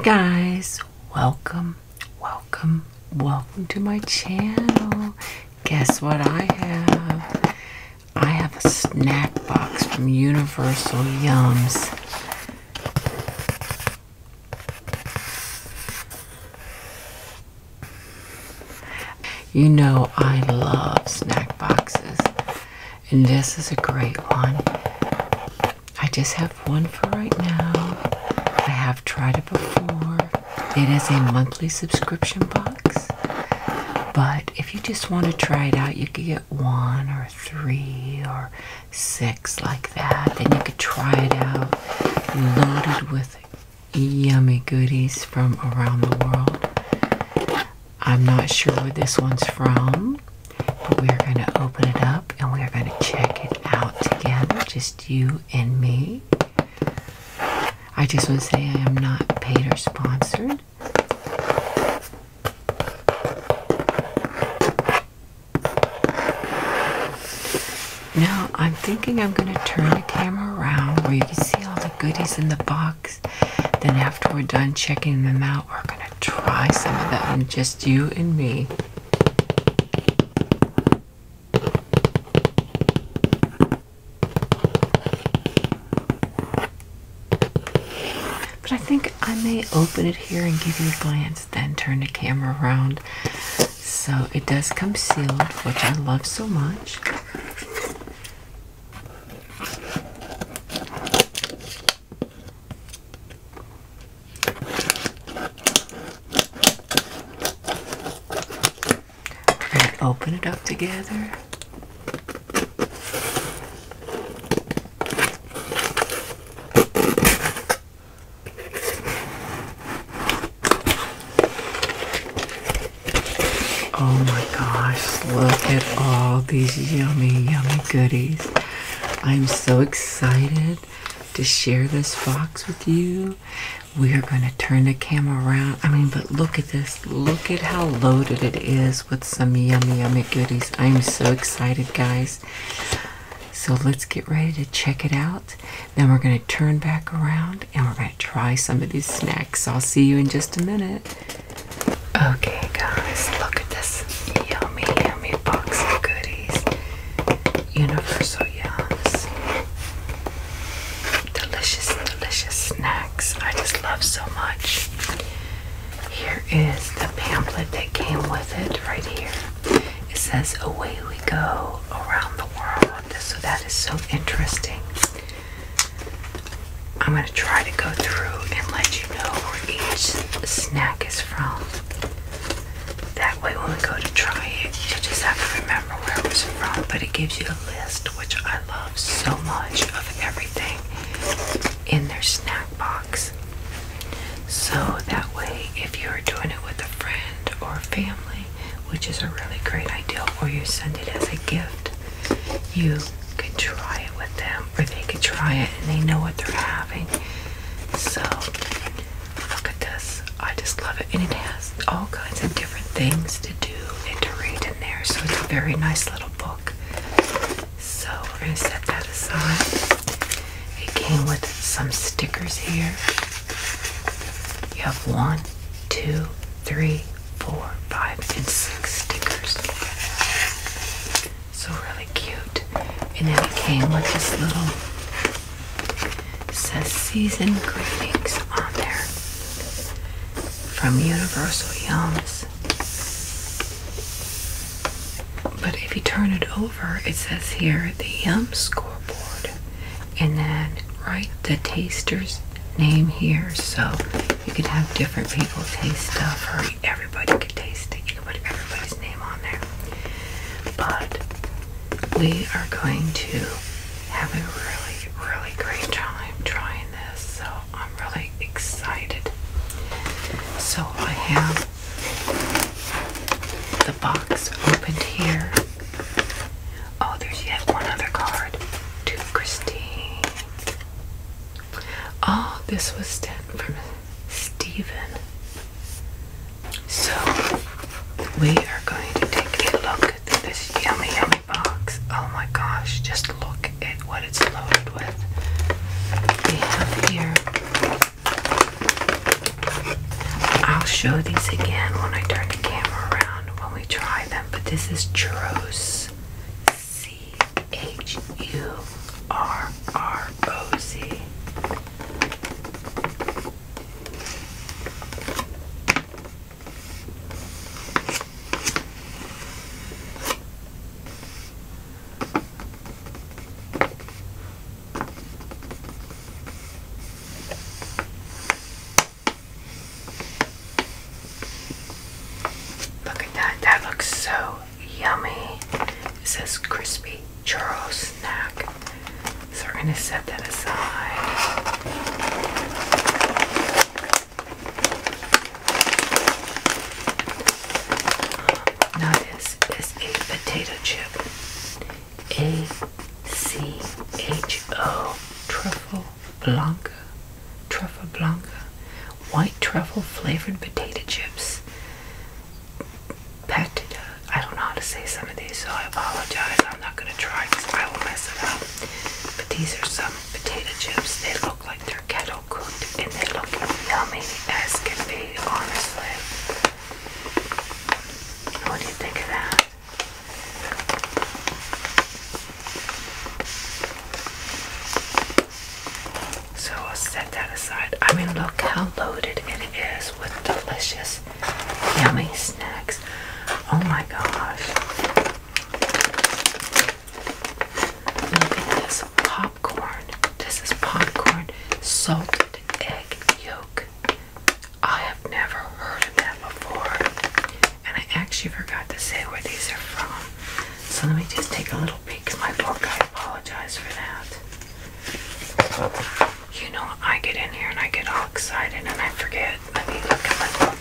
Hey guys, welcome, welcome, welcome to my channel. Guess what I have? I have a snack box from Universal Yums. You know, I love snack boxes, and this is a great one. I just have one for right now. I have tried it before. It is a monthly subscription box, but if you just want to try it out, you could get one or three or six like that. Then you could try it out, loaded with yummy goodies from around the world. I'm not sure where this one's from, but we're going to open it up and we're going to check it out together, just you and me. I just want to say I am not paid or sponsored. Now I'm thinking I'm going to turn the camera around where you can see all the goodies in the box. Then after we're done checking them out, we're going to try some of them, just you and me. But I think I may open it here and give you a glance then turn the camera around. So it does come sealed, which I love so much. We're open it up together. Oh my gosh, look at all these yummy, yummy goodies. I'm so excited to share this box with you. We are going to turn the camera around. I mean, but look at this. Look at how loaded it is with some yummy, yummy goodies. I'm so excited, guys. So let's get ready to check it out. Then we're going to turn back around and we're going to try some of these snacks. I'll see you in just a minute. Okay, guys, look at this yummy, yummy box of goodies. Universal Yums. Delicious, delicious snacks. I just love so much. Here is the pamphlet that came with it right here. It says, Away we go around the world. So that is so interesting. I'm going to try to go through and let you know where each snack is from. That way, when we go to try it, you just have to remember where it was from. But it gives you a list, which I love so much, of everything in their snack box. So that way, if you're doing it with a friend or family, which is a really great idea, or you send it as a gift, you could try it with them, or they could try it and they know what they're having. So, look at this. I just love it. And it has all kinds of different things to do and to read in there. So, it's a very nice little book. So, we're going to set that aside. It came with some stickers here. You have one, two, three, four, five, and six stickers. So really cute. And then it came with this little it says season greetings on there from Universal Yams. But if you turn it over, it says here the um, scoreboard, and then write the taster's name here, so you can have different people taste stuff, or everybody can taste it. You can put everybody's name on there. But we are going to have a really, really great time trying this, so I'm really excited. So I have the box opened here. Oh, there's yet one other card to Christine. Oh, this was sent from Stephen. So we are going to take a look at this yummy, yummy box. Oh my gosh, just look at what it's loaded with. We have here I'll show these again when I turn the camera around when we try them, but this is churros. C H U R R O Z. Look at that. That looks so yummy. It says crispy churro snack. So we're going to set that aside. Now this is a potato chip. A C H O truffle blanca, truffle blanca, white truffle flavored potato chips. Patita. I don't know how to say some of these, so I apologize. I'm not gonna try because I will mess it up. But these are some potato chips. They look like they're kettle cooked, and they look yummy as can be. Honestly, what do you think of that? So I'll set that aside. I mean, look how loaded it is with delicious, yummy snacks. Oh my gosh. Look at this popcorn. This is popcorn salted egg yolk. I have never heard of that before. And I actually forgot to say where these are from. So let me just take a little peek at my book. I apologize for that. You know, I get in here and I get all excited and I forget. I mean. look at my book.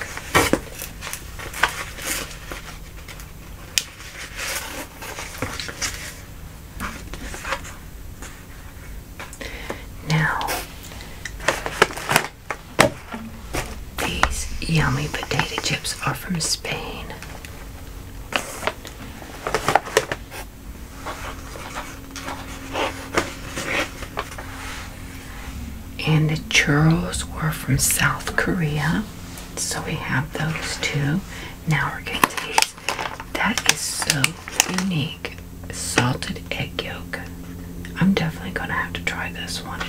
Now, these yummy potato chips are from Spain. And the churros were from South Korea. So we have those two. Now we're getting. to eat that is so unique. Salted egg yolk. I'm definitely gonna have to try this one.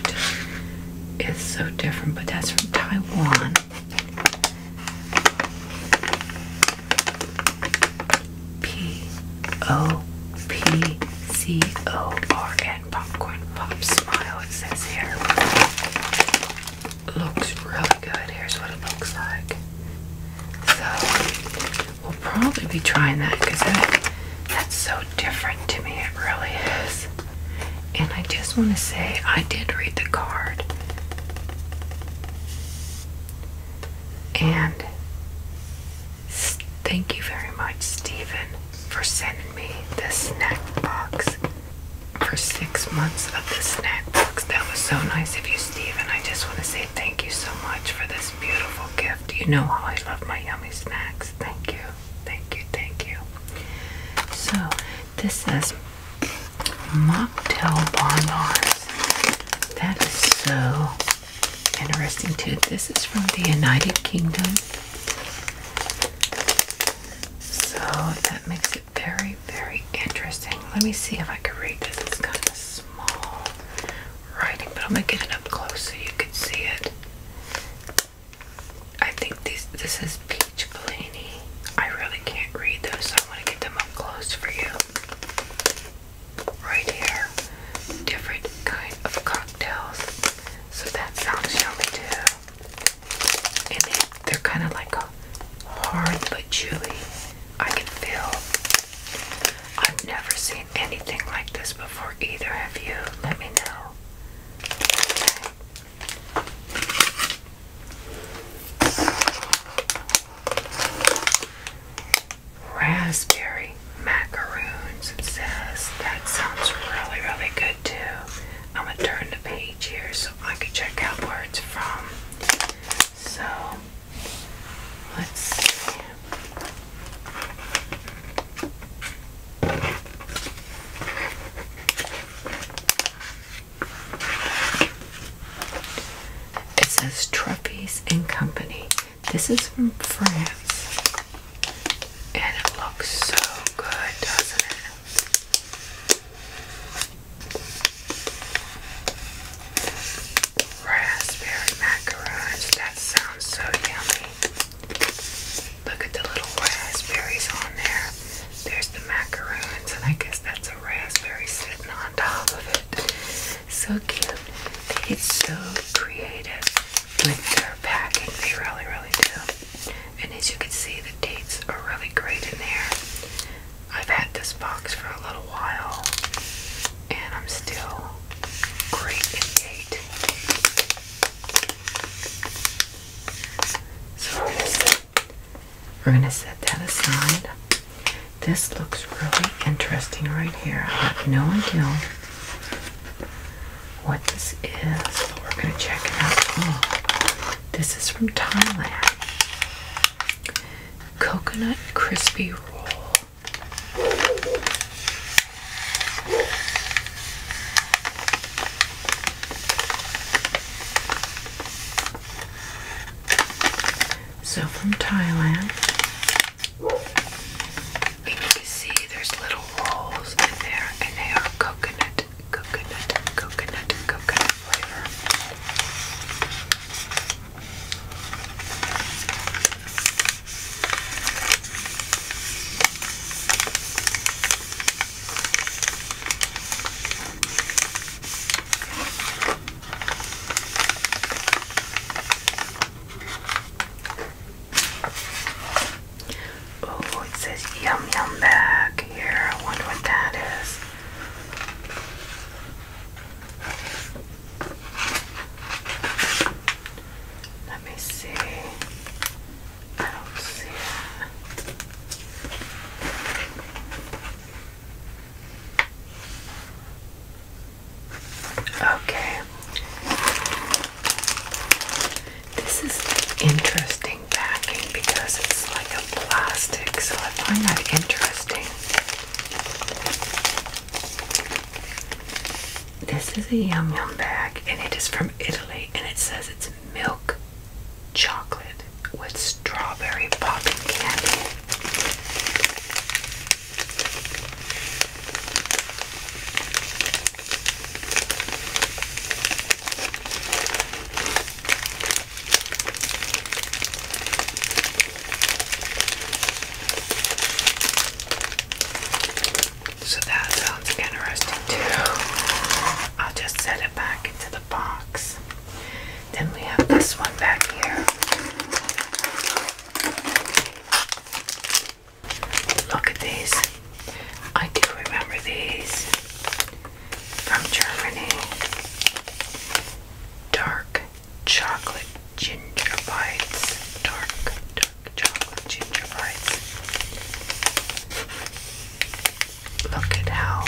It's so different, but that's from Taiwan. P O P C O R N popcorn pop smile. It says here. Looks really good. Here's what it looks like. So We'll probably be trying that because that, that's so different to me. It really is. And I just want to say I did read the card. And thank you very much, Stephen, for sending me this snack box for six months of the snack box. That was so nice of you, Stephen. I just want to say thank you so much for this beautiful gift. You know how I love my yummy snacks. Thank you. Thank you. Thank you. So, this is mocktail bonbons. That is so interesting, too. This is from the United Kingdom. So, that makes it very, very interesting. Let me see if I can read this. It's kind of small writing, but I'm gonna get it up close so you can see it. I think these this is Peach Bellini. I really can't read those, so I want to get them up close for you. Right here, different kind of cocktails. So that sounds yummy too. And they, are kind of like hard but chewy. I can feel I've never seen anything like this before either. Have you? Let me know. Raspberry macaroons, says. That sounds really, really good too. I'm gonna turn the page here so I can check out where it's from. So let's see. It says Truffy's and Company. This is from France. And it looks so good, doesn't it? raspberry macarons. That sounds so yummy. Look at the little raspberries on there. There's the macaroons, and I guess that's a raspberry sitting on top of it. So cute. They get so creative with their packing. They really, really do. And as you can see, the dates are really great in there. I've had this box for a little while and I'm still great in gait. So we're gonna set, that aside. This looks really interesting right here. I have no idea what this is, but we're gonna check it out. Oh, this is from Thailand. Coconut crispy roll. So from Thailand, you can see there's little rolls in there, and they are coconut, coconut, coconut, coconut flavor. Oh, it says yum yum back here. I wonder what that is. Let me see. I don't see it. Okay. This is interesting backing because it's like a plastic, so I find that interesting. This is a yum yum bag, and it is from Italy, and it says it's milk chocolate with strawberry popping candy. So that sounds interesting too. I'll just set it back into the box. Then we have this one back here. Look at these. I do remember these from Germany. Dark chocolate ginger bites, dark, dark chocolate ginger bites. Look at how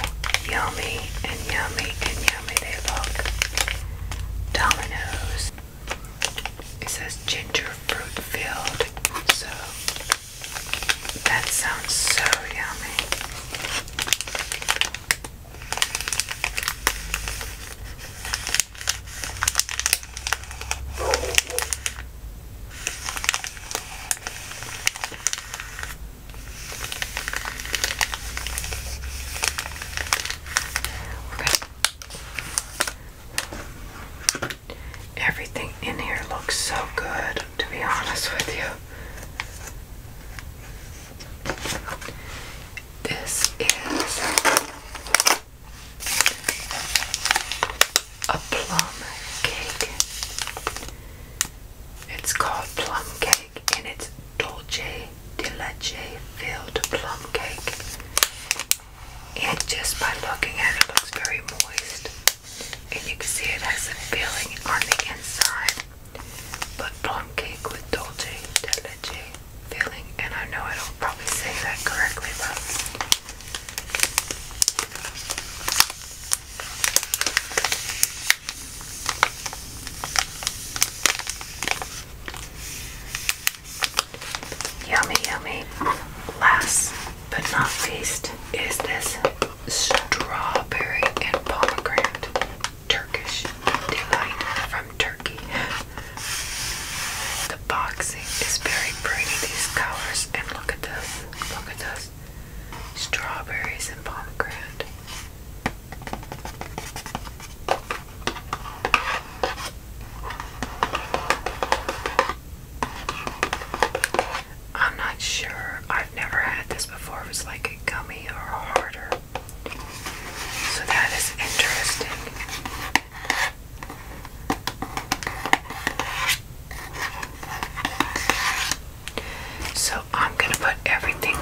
yummy and yummy and yummy they look. Domino's. It says ginger fruit filled, so that sounds so yummy. Everything in here looks so good, to be honest with you. This is a plum cake. It's called plum cake and it's dolce de leche filled plum cake. And just by looking at it, looks very moist. And you can see it has a filling on the inside. But plum cake with dolce de leche feeling, and I know I don't probably say that correctly, but yummy, yummy. Last but not least is this strawberry and pomegranate Turkish delight Turkey. The boxing is very pretty, these colors, and look at those, look at those strawberries and pomegranate. I'm not sure. I've never had this before. It was like a gummy or harder. So that is interesting. So I'm going to put everything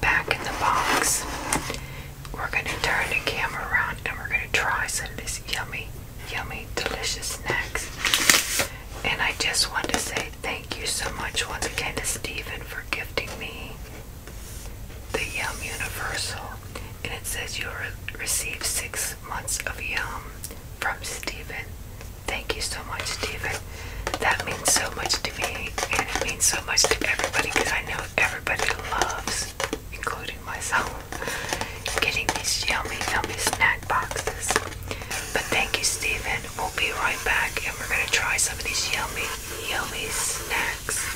back in the box. We're going to turn the camera around and we're going to try some of this yummy, yummy, delicious snacks. And I just want to say thank you so much once again to Stephen for gifting me the Yum Universal, and it says you'll receive six months of Yum from Stephen. Thank you so much, Stephen. That means so much to me, and it means so much to everybody because I know everybody loves, including myself, getting these yummy, yummy snack boxes. But thank you, Stephen. We'll be right back and we're going to try some of these yummy, yummy snacks.